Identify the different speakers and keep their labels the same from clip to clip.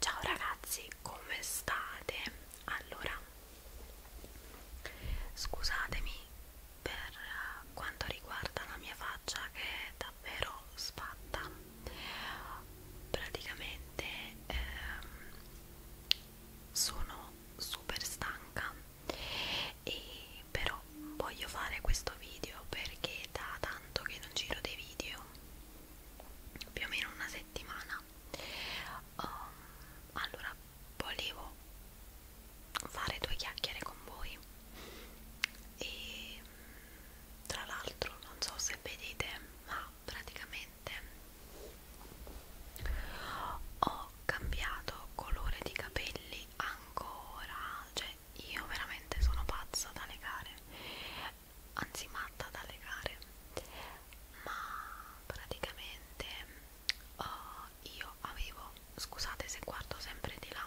Speaker 1: Ciao ragazzi, come state? Allora, scusatemi per quanto riguarda la mia faccia che è davvero sfatta. Praticamente ehm, sono super stanca e però voglio fare questo video perché da tanto che non giro dei video più o meno una settimana um, allora volevo fare due chiacchiere con voi e tra l'altro non so se vedete ma praticamente ho cambiato colore di capelli ancora cioè io veramente sono pazza da legare anzi matta dalle gare ma praticamente uh, io avevo scusate se guardo sempre di là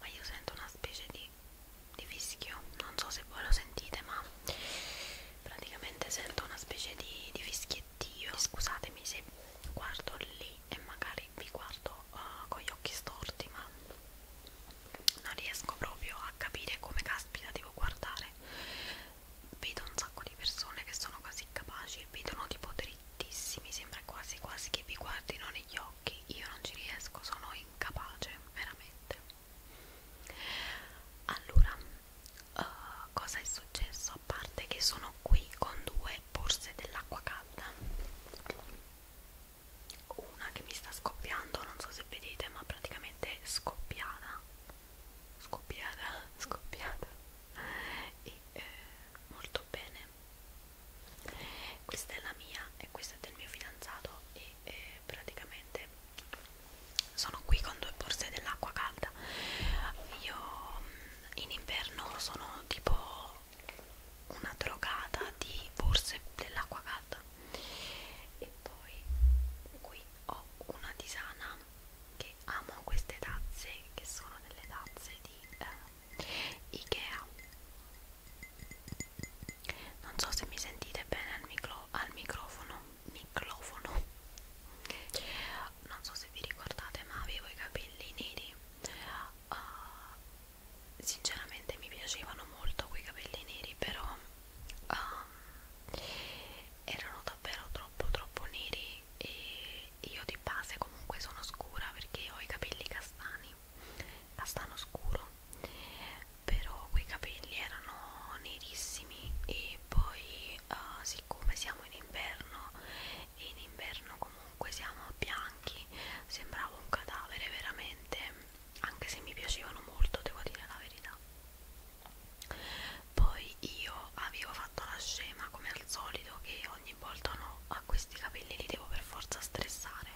Speaker 1: ma io sento una specie di, di fischio non so se voi lo sentite ma praticamente sento una specie di, di fischiettio scusatemi se guardo lì e magari vi guardo uh, con gli occhi storti ma non riesco proprio a capire come caspita devo guardare vedo un sacco di persone che sono quasi capaci vedono tipo drittissimi sembra quasi quasi che vi guardino negli occhi io non ci riesco sono incapace veramente allora uh, cosa è successo a parte che sono qui con due borse dell'acqua calda una che mi sta scoppiando non so se vedete ma praticamente scoppiata scoppiata scoppiata e eh, molto bene questa è la mia e questa è del mio fidanzato e eh, praticamente sono qui con due borse dell'acqua calda io mm, in inverno sono tipo una drogata di borse dell'acqua calda e poi qui ho una tisana che amo queste tazze che sono delle tazze di eh, Ikea non so se mi sentite bene al, micro, al microfono microfono non so se vi ricordate ma avevo i capelli neri uh, sinceramente mi piacevano molto quei capelli neri però um, erano davvero troppo troppo neri e io di base comunque sono scura perché ho i capelli castani castano scuro però quei capelli erano nerissimi e poi uh, siccome siamo in inverno e in inverno comunque siamo bianchi bianchi sembrava un cadavere veramente anche se mi piacevano molto devo dire la verità poi io avevo fatto la scema come al solito che ogni volta no a questi capelli li devo per forza stressare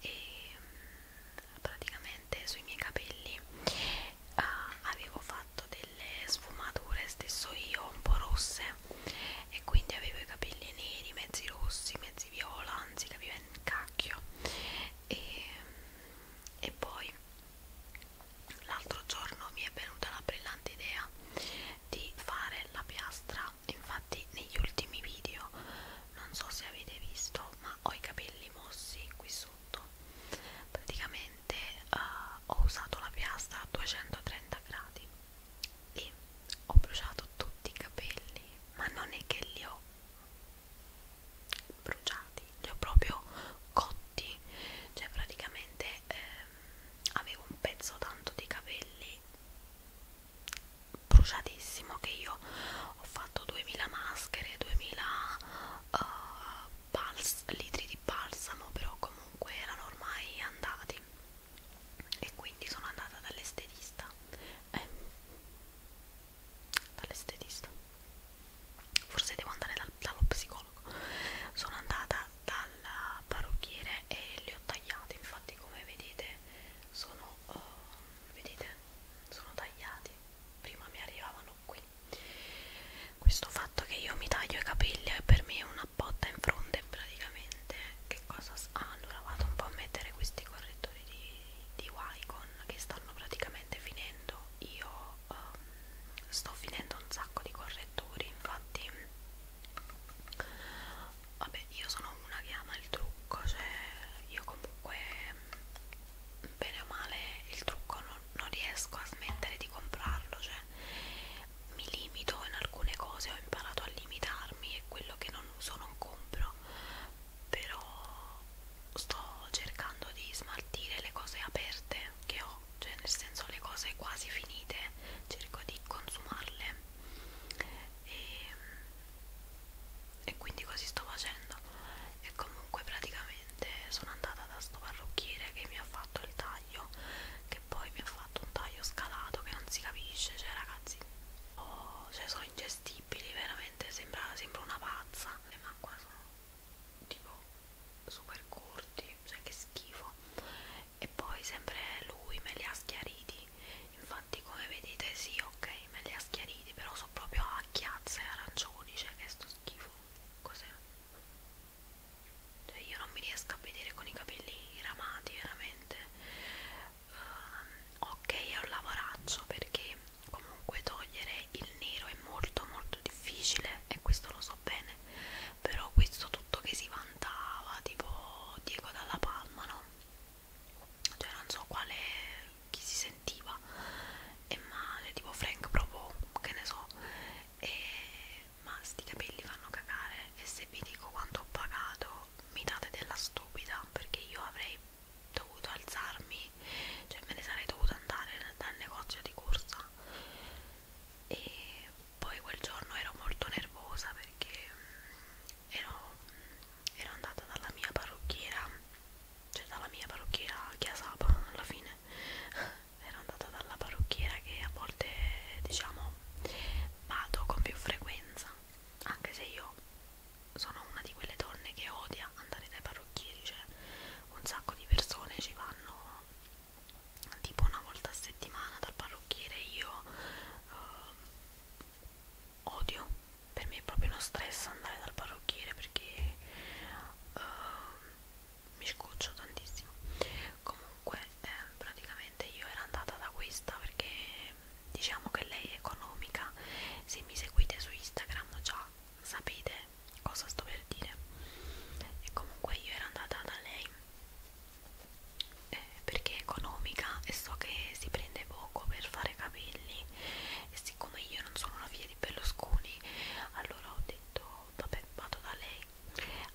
Speaker 1: e mm, praticamente sui miei capelli uh, avevo fatto delle sfumature stesso io un po' rosse me e quindi avevo i capelli neri, mezzi rossi, mezzi viola, anzi capiva in cacchio e, e poi l'altro giorno mi è venuta la brillante idea di fare la piastra infatti negli ultimi video non so se avete visto ma ho i capelli mossi qui sotto praticamente uh, ho usato la piastra a 230 gradi e ho bruciato tutti i capelli ma non è che li ho bruciati li ho proprio cotti cioè praticamente ehm, avevo un pezzo tanto di capelli bruciatissimo che io ho fatto 2000 maschere 2000 uh, bals litri di balsamo però comunque erano ormai andati e quindi sono andata dall'estetista eh, dall'estetista forse devo andare dal, dallo psicologo sono andata dal parrucchiere e le ho tagliate infatti come vedete sono uh, vedete sono tagliati prima mi arrivavano qui questo fatto che io mi taglio i capelli per me è una botta in fronte praticamente niente che cosa ah, allora vado un po' a mettere questi correttori di, di Wycon che stanno praticamente finendo io um, sto finendo un sacco di correttori infatti vabbè io sono una che ama il trucco cioè io comunque bene o male il trucco non, non riesco a smettere di comprarlo cioè mi limito in alcune cose, ho imparato a limitarmi e quello che non uso non compro, però sto cercando di smaltire le cose aperte che ho, cioè nel senso le cose quasi finite, cerco di consumarle e, ehm, e quindi così sto facendo e comunque praticamente sono andata da sto parrucchiere che mi ha fatto il taglio che e poi mi ha fatto un taglio scalato che non si capisce, cioè ragazzi, oh, cioè sono ingestibili, veramente sembra, sembra una pazza, ma qua sono tipo super corti, cioè che schifo, e poi sempre lui me li ha schiariti, infatti come vedete sì, ok, me li ha schiariti, però sono proprio a chiazze arancioni, cioè che sto schifo, cos'è? cioè io non mi riesco a vedere con i capelli ramati veramente uh, ok è un lavoraccio perché comunque togliere il nero è molto molto difficile e questo lo so bene però questo tutto che si vantava tipo Diego dalla Palma no? cioè non so quale chi si sentiva e male cioè, tipo Frank proprio che ne so e ma sti capelli fanno cagare e se vi dico quanto ho pagato mi date della stupida perché io avrei dovuto alzarmi cioè me ne sarei dovuto andare dal negozio di corsa e poi quel giorno ero molto nervosa perché mm, ero, ero andata dalla mia parrucchiera cioè dalla mia parrucchiera Chiasapa alla fine ero andata dalla parrucchiera che a volte diciamo vado con più frequenza anche se io sono una di quelle donne che odia andare dai parrucchieri cioè un sacco di persone ci vanno tipo una volta a settimana dal parrucchiere io eh, odio per me è proprio uno stress andare dal parrucchiere perché eh, mi scoccio tantissimo comunque comunque eh, praticamente io ero andata da questa perché diciamo che lei è economica se mi seguite su Instagram già sapete cosa sto per dire e comunque io ero andata da lei eh, perché è economica e so che si prende poco per fare capelli e siccome io non sono una figlia di Berlusconi allora ho detto vabbè vado da lei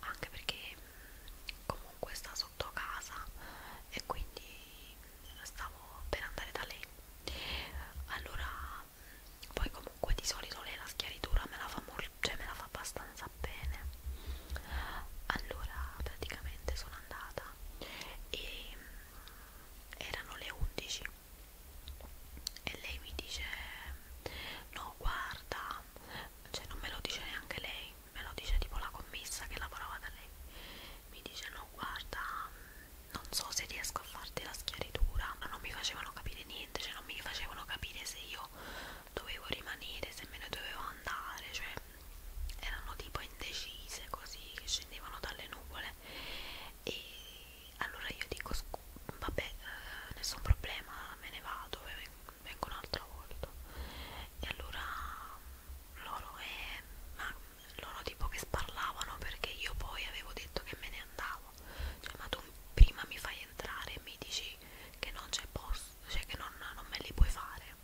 Speaker 1: anche perché mm, comunque sta sotto casa e quindi stavo per andare da lei allora mm, poi comunque di solito lei la schiaritura me la fa molto cioè me la fa abbastanza bene allora praticamente sono andata e mm, erano le 11 e lei mi dice no guarda cioè non me lo dice neanche lei, me lo dice tipo la commessa che lavorava da lei, mi dice no guarda mm, non so se riesco a farti la schiaritura, ma non mi facevano capire niente, cioè non mi facevano capire se io dovevo rimanere, se me ne dovevo andare, cioè erano tipo indecise così che scendevano dalle nuvole e allora io dico vabbè eh, nessun problema me ne vado vengo un'altra volta e allora loro, e, ma, loro tipo che sparlavano perché io poi avevo detto che me ne andavo cioè ma tu prima mi fai entrare e mi dici che non c'è posto cioè che non, non me li puoi fare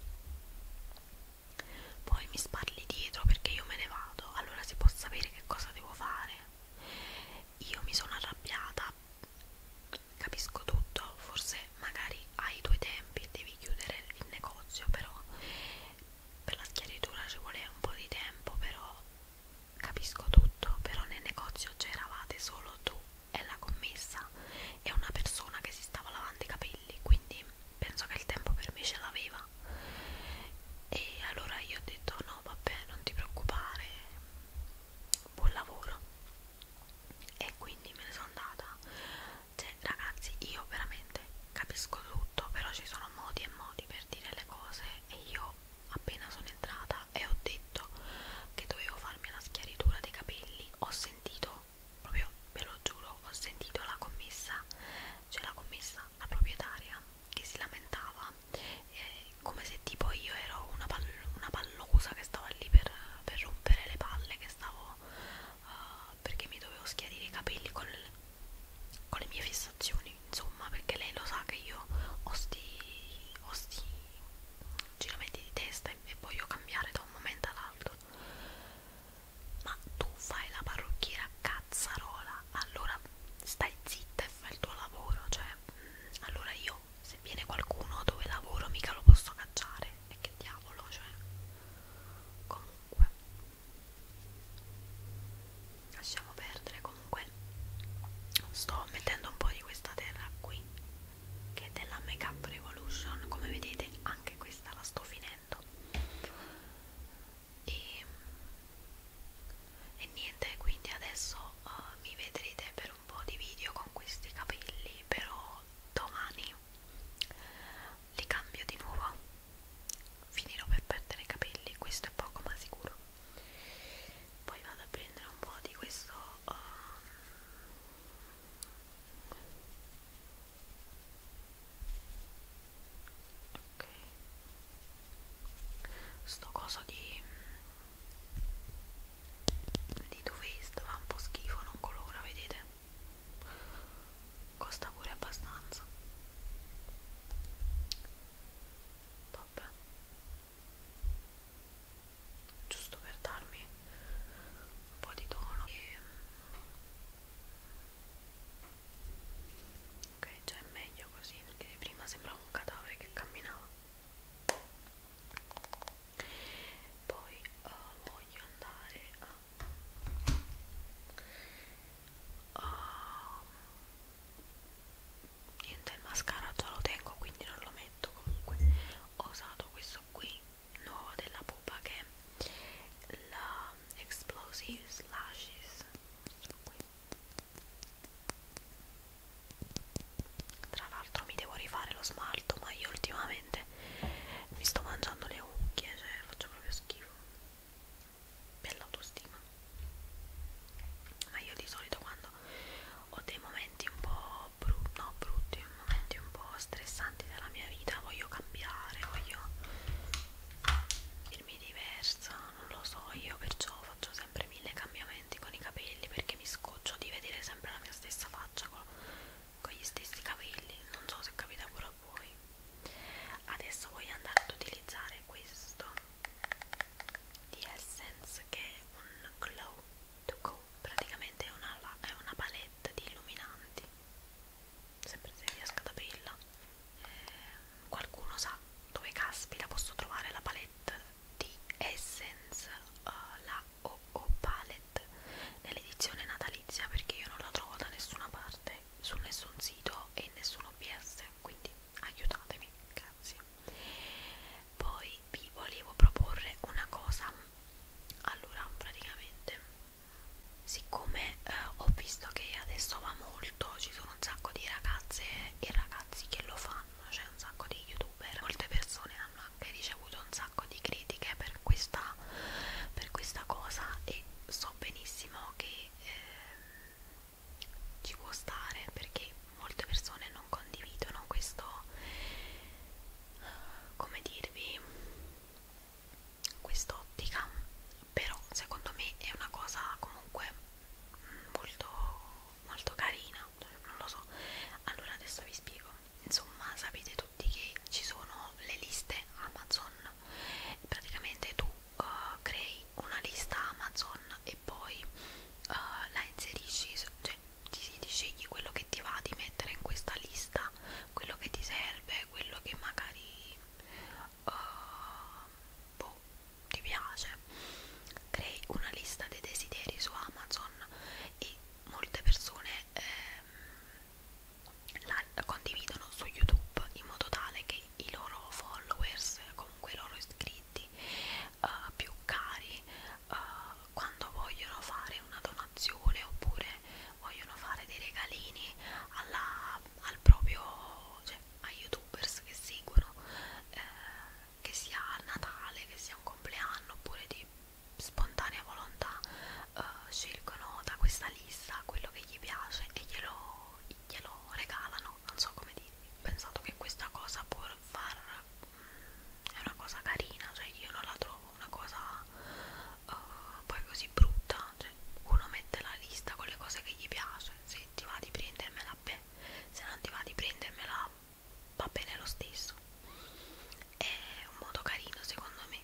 Speaker 1: poi mi sparli dietro perché io me ne vado allora si può sapere che cosa devo fare io mi sono arrabbiata capisco tutto, forse magari hai i tuoi tempi e devi chiudere il negozio, però per la schiaritura ci vuole un po' di tempo, però capisco tutto, però nel negozio c'eravate solo tu e la commessa e una persona che si stava lavando i capelli, quindi penso che il tempo per me ce l'aveva e allora io ho detto no vabbè non ti preoccupare buon lavoro e quindi me ne sono andata cioè ragazzi io veramente capisco tutto però ci sono modi e modi per dire le cose e io appena sono entrata e ho detto che dovevo farmi la schiaritura dei capelli ho sentito proprio ve lo giuro ho sentito la commessa cioè la commessa la proprietaria che si lamentava eh, come se tipo io ero una, pal una pallosa che stava lì per, per rompere le palle che stavo uh, perché mi dovevo schiarire i capelli con le, con le mie fissazioni insomma perché lei lo sa che io ho sti, ho sti giramenti di testa e, e voglio cambiare da un momento all'altro ma tu fai la parrucchiera cazzarola allora stai zitta e fai il tuo lavoro cioè mh, mm, allora io no, se viene qualcuno dove lavoro mica lo posso cacciare e che diavolo, cioè comunque lasciamo perdere comunque sto mettendo un po' di questa terra qui che è della Make Up Revolution come vedete anche questa la sto finendo e, e niente quindi adesso uh, mi vedrete per per un po' di video con questi capelli però domani li cambio di nuovo finirò per perdere i capelli questo è poco ma sicuro poi vado a prendere un po' di questo um, ok sto coso di di Too Faced va un po' schifo, non colora, vedete? Costa pure abbastanza. Vabbè. Giusto per darmi un po' di tono. E... Mm, ok, già è meglio così, perché prima sembrava un cadavere che camminava poi uh, voglio andare a uh, niente il mascara già lo tengo quindi non lo metto comunque ho usato questo qui nuovo della pupa che è la explosive slashes questo qui tra l'altro mi devo rifare lo smalto, ma io ultimamente mi sto mangiando le unghie, cioè faccio proprio schifo. Per l'autostima. Ma io di solito quando ho dei momenti un po' bru no, brutti, momenti un po' stressanti della mia vita, voglio cambiare, voglio dirmi diversa, non lo so, io perciò faccio sempre fare mille cambiamenti con i capelli perché mi scoccio di vedere sempre la mia stessa faccia con, con gli stessi capelli non so se capita pure a voi adesso voglio andare ad utilizzare questo di Essence che è un glow to go praticamente è una, è una palette di illuminanti sempre se riesco ad aprirla eh, qualcuno sa dove caspita posso trovare la palette di Essence uh, la OO Palette nell'edizione natalizia perché io non la trovo da nessuna parte su nessun sito e nessun OBS quindi aiutatemi grazie poi vi volevo proporre una cosa allora praticamente siccome eh, ho visto che adesso va molto ci sono un sacco di ragazze e ragazzi che lo fanno Instagram, c'è un sacco di youtuber, molte persone hanno anche ricevuto un sacco di critiche per questa, per questa cosa e so benissimo che eh, ci può stare perché molte persone non condividono questo, come dirvi, quest'ottica, però secondo me è una cosa comunque molto molto carina, non lo so. Allora adesso vi spiego. Insomma, sapete tutti che ci sono le liste Amazon. Praticamente tu uh, crei una lista Amazon e poi uh, la inserisci, cioè ti, ti scegli quello che ti va di mettere in questa lista, quello che ti serve, quello che magari uh, boh, ti piace crei una lista dei desideri su Amazon e molte persone ehm, la condividono su YouTube in modo tale che i loro followers, comunque i loro iscritti eh, più cari eh, quando vogliono fare una donazione oppure vogliono fare dei regalini alla, al proprio cioè, a youtubers che seguono eh, che sia Natale, che sia un compleanno oppure di spontanea volontà eh, scelgono da questa lista quello che gli piace e glielo, glielo regalano non so come dirvi ho pensato che questa cosa può far mm, è una cosa carina cioè io non la trovo una cosa uh, poi così brutta cioè uno mette la lista con le cose che gli piace se ti va di prendermela mappe se non ti va di prendermela va bene lo stesso è un modo carino secondo me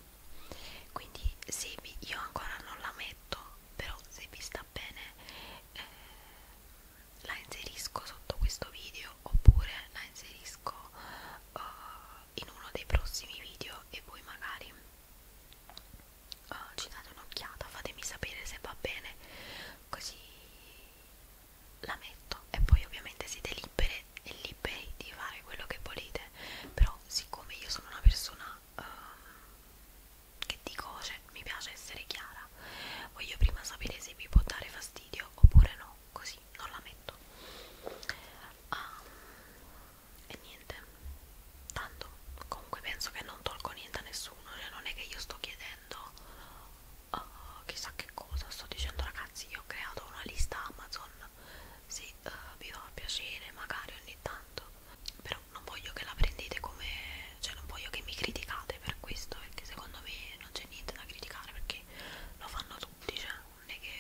Speaker 1: quindi se vi, io ancora non la metto però se vi sta bene eh, la inserisco sotto questo video oppure la inserisco uh, in uno dei prossimi video e voi magari oh, ci date un'occhiata fatemi sapere se va bene così la metto e poi ovviamente siete libere e liberi di fare quello che volete però siccome io sono una persona um, che dico cioè, mi piace essere chiara voglio prima sapere se vi può dare fastidio oppure no così non la metto um, e niente tanto comunque penso che non tolgo niente a nessuno cioè, non è che io sto chiedendo uh, chissà che cosa sto dicendo ragazzi io ho creato una lista Amazon se uh, vi fa piacere magari ogni tanto però non voglio che la prendete come cioè non voglio che mi criticate per questo perché secondo me non c'è niente da criticare perché lo fanno tutti cioè non è che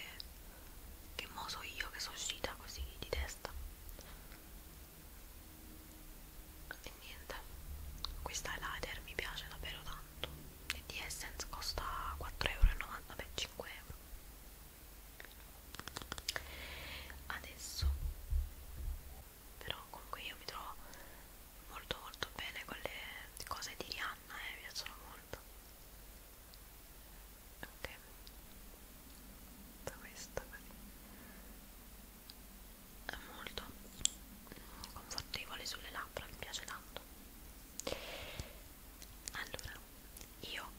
Speaker 1: che mo so io che sono uscita così di testa e niente questa eyeliner mi piace davvero tanto e di Essence costa 4,90 euro vabbè 5 euro adesso però comunque io mi trovo molto molto bene con le cose di Rihanna e eh, mi piacciono molto ok questa così è molto confortevole sulle labbra, mi piace tanto allora io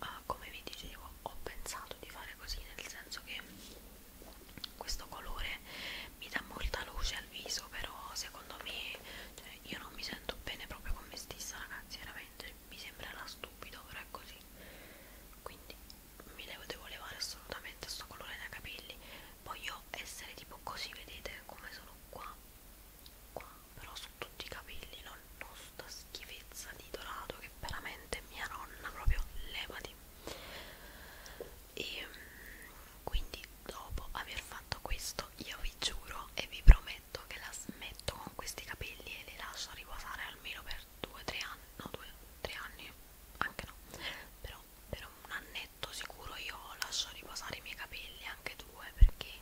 Speaker 1: eh, come vi dicevo ho pensato di fare così nel senso che questo colore mi dà molta luce al viso però secondo me cioè, io non mi sento bene proprio con me stessa ragazzi veramente mi sembrerà stupido però è così quindi mi devo, devo levare assolutamente sto colore dai capelli voglio essere tipo così vedete come sono qua qua però su tutti i capelli non, non sta schifezza di dorato che veramente mia nonna proprio levati e ehm, quindi dopo aver fatto questo io vi giuro e vi prometto che la smetto con questi capelli e li lascio riposare almeno per per due, tre anni, no due, tre anni, anche no, però per un annetto sicuro io lascio riposare i miei capelli, anche due, perché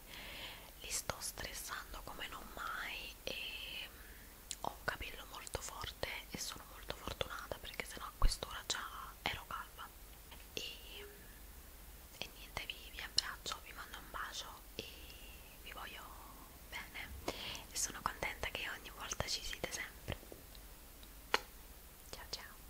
Speaker 1: li sto stressando come non mai e mm, ho un capello molto forte e sono molto fortunata perché sennò a quest'ora già ero calva e, mm, e niente vi, vi abbraccio vi mando un bacio e vi voglio bene e sono contenta che ogni volta ci siete sempre ciao ciao